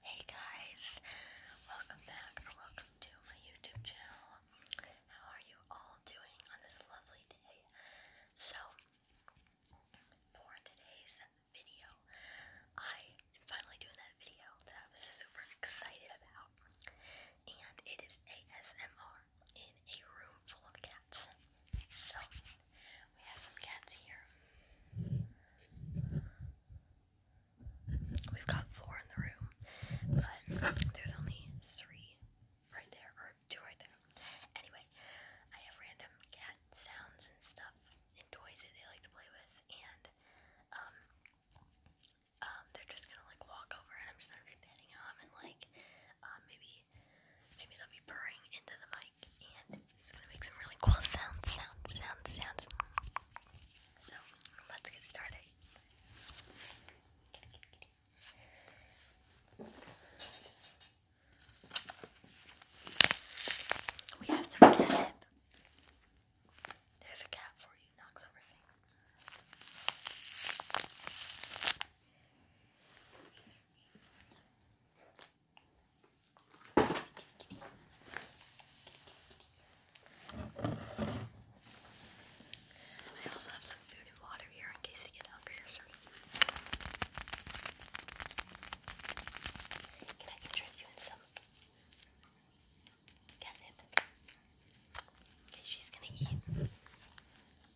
Hey guys, welcome back or welcome to my YouTube channel. How are you all doing on this lovely day? So, for today's video, I am finally doing that video that I was super excited about, and it is ASMR in a room full of cats. So, we have some cats here. We've got four in the room, but there's only three right there, or two right there. Anyway, I have random cat sounds and stuff and toys that they like to play with, and um, um, they're just gonna like walk over, and I'm just gonna be petting them and like um, maybe maybe they'll be purring into the mic and it's gonna make some really cool sounds, sounds, sounds, sounds. So let's get started. We have some catnip. There's a cat for you, knocks over things. I also have some food and water here in case you get hungry or something. Can I interest you in some catnip? Okay, she's gonna eat.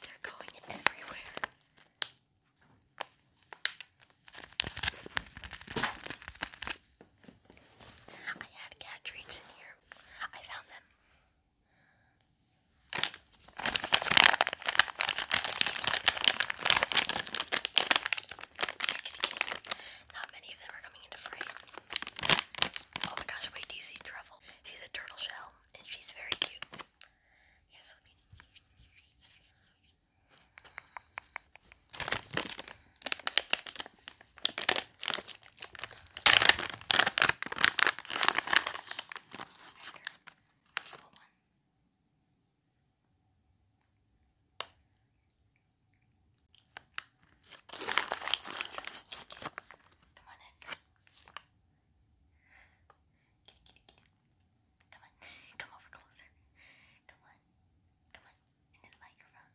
They're going everywhere. I had cat treats in here. I found them. Not many of them are coming into frame. Oh my gosh, wait, do Truffle? She's a turtle shell, and she's very cute. Yes, I mean. Come on, come over closer. Come on, come on, into the microphone.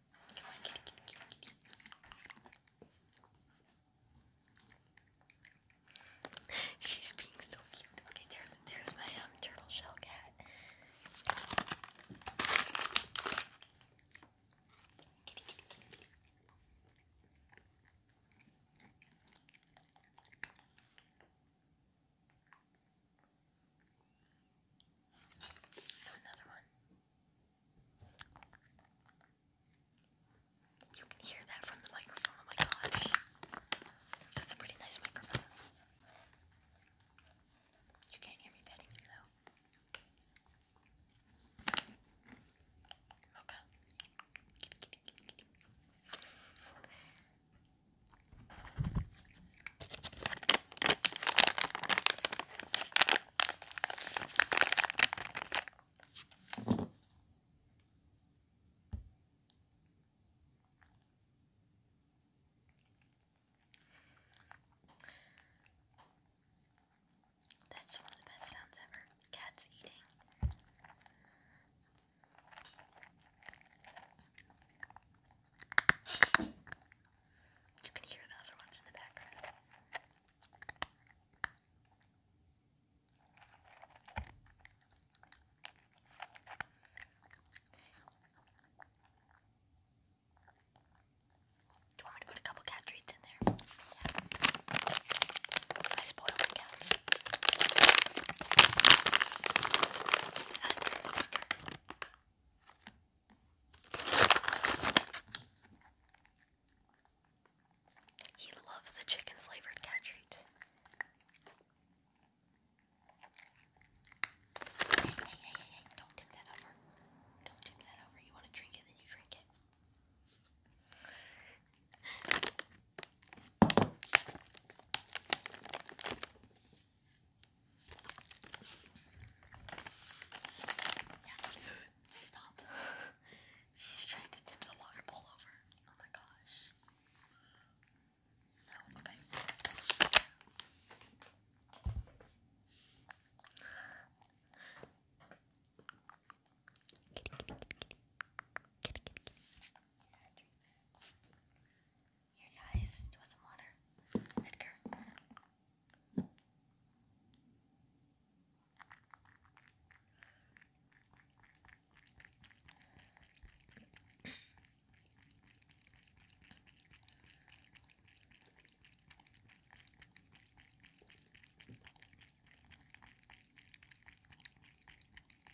She's being so cute. Okay, there's there's my um turtle shell cat. So another one. You can hear that from the microphone. Oh my gosh. That's a pretty nice microphone. You can't hear me petting you Okay. That's one of the best sounds ever. Cats eating. You can hear the other ones in the background. Do you want me to put a couple cat treats in there? I spoiled the cats. He loves the chicken flavored cat treats. Hey, hey, hey, don't tip that over. Don't tip that over. You want to drink it, then you drink it. Yeah. Stop. He's trying to tip the water bowl over. Oh my gosh. No, okay. Here, guys, do you want some water? Edgar.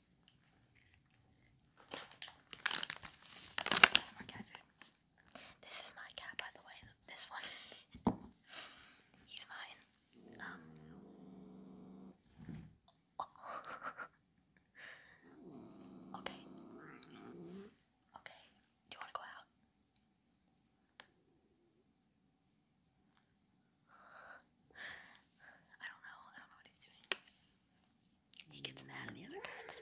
That's more cat food. This is my cat, by the way. This one. He's mine. Um. okay. Okay. Do you want to go out? I don't know. I don't know what he's doing. He gets mad at the other cats.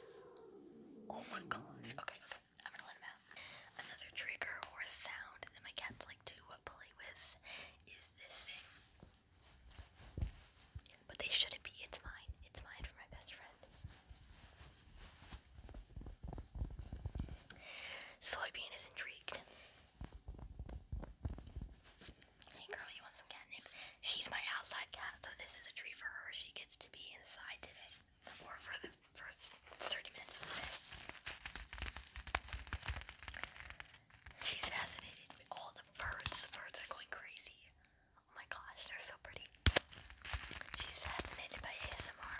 Oh my mm-hmm. gosh. okay. I'm gonna let him out. Another trigger or sound that my cats like to play with is this thing. But they shouldn't be. It's mine. It's mine for my best friend. Soybean is intrigued. Hey girl, you want some catnip? She's my outside cat, so this is a treat for her. She gets to be inside today, or for the first 30 minutes of the day. She's fascinated with all the birds. The birds are going crazy. Oh my gosh, they're so pretty. She's fascinated by ASMR.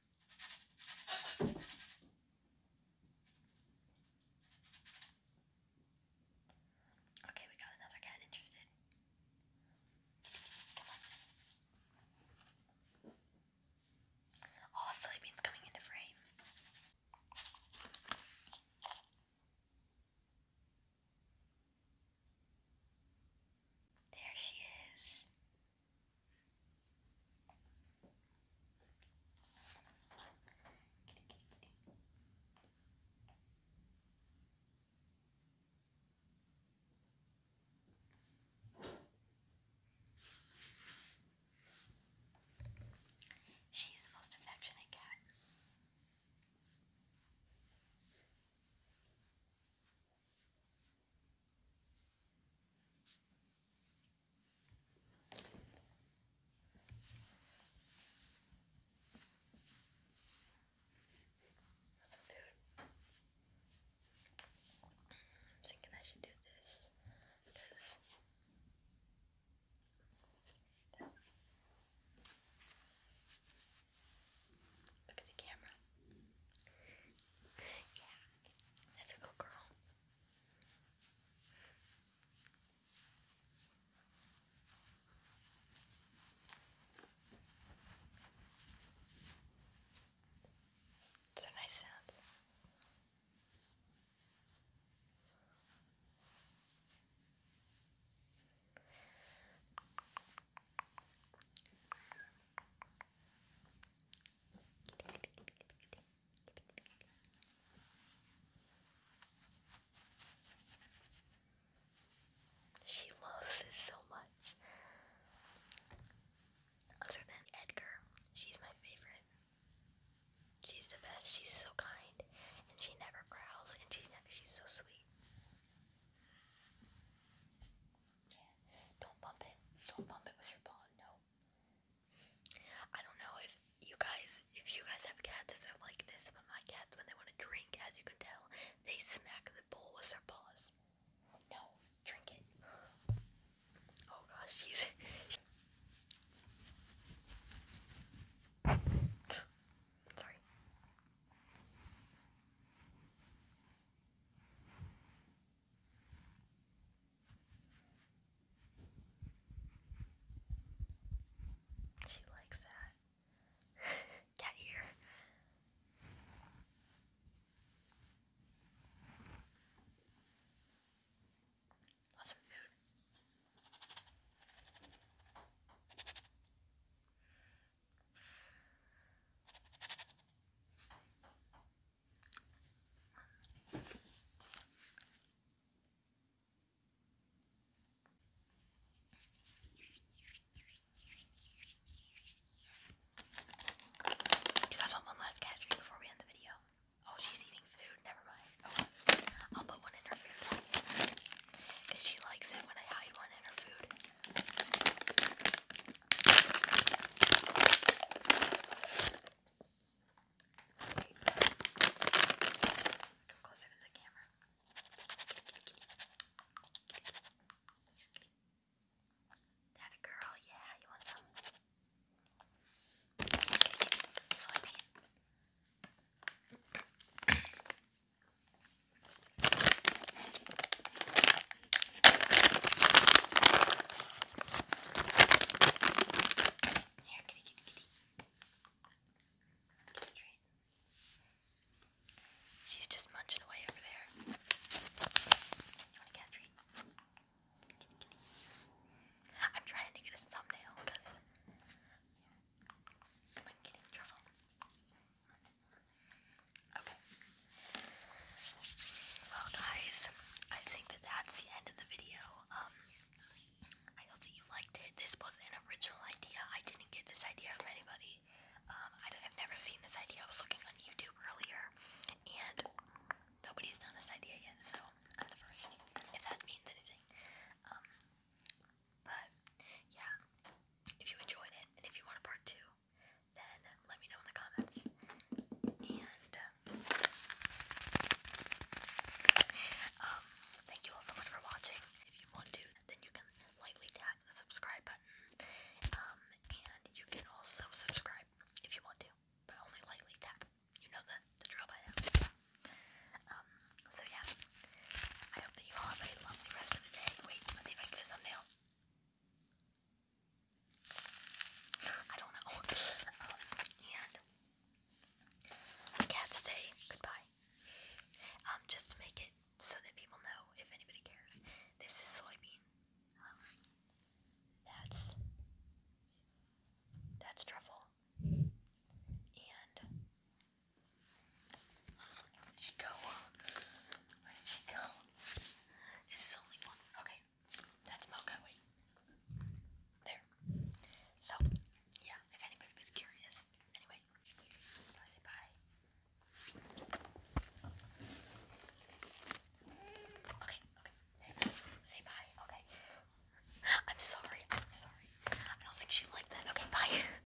Okay, we got another cat interested. Come on. Oh, soybeans coming into frame. There she is. She's the most affectionate cat. Some food. I'm thinking I should do this because look at the camera. Yeah, that's a good girl. Those are nice sounds. She loves us so much. Other than Edgar, she's my favorite. She's the best. She's so kind, and she never growls, and she's she's so sweet. Don't bump it. Don't bump it with your paw. No. I don't know if you guys, if you guys have cats, if they like this, but my cats, when they want to drink, as you can tell, they smack the bowl with their paws. No, drink it. Oh gosh, she's. Sorry. She likes that. Cat ear. Lots of food. You guys want one last cat treat before we end the video? Oh, she's eating food. Never mind. I'll put one in her food. Because she likes it when I hide one in her food. Come closer to the camera. That a girl, yeah, you want some? Soybean. Here, kitty, kitty, kitty. She's just munching away over there. You want a treat? I'm trying to get a thumbnail because I'm getting trouble. Okay. Well, guys, I think that that's the end of the video. Um, I hope that you liked it. This was an original idea. I didn't get this idea from anybody. Um, I have never seen this idea. I was looking on YouTube earlier, and nobody's done this idea yet, so I'm the first. If that means anything. Um, but yeah, if you enjoyed it, and if you want a part two, then let me know in the comments. And um, um, thank you all so much for watching. If you want to, then you can lightly tap the subscribe button. Um, and you can also subscribe if you want to, but only lightly tap. You know the, the drill by now. Um, so yeah, I hope that you all have a lovely rest of the day. Wait, let's see if I get a thumbnail. I don't know. Um, and cats say goodbye. Um, just to make it so that people know if anybody cares. This is soybean. Um, that's that's truffle. And where did she go? Where did she go? This is only one. Okay. That's Mocha. Wait. There. So, yeah, if anybody was curious. Anyway, I say bye. Okay, okay. say bye. Okay. I'm sorry. I'm sorry. I don't think she liked that. Okay, bye.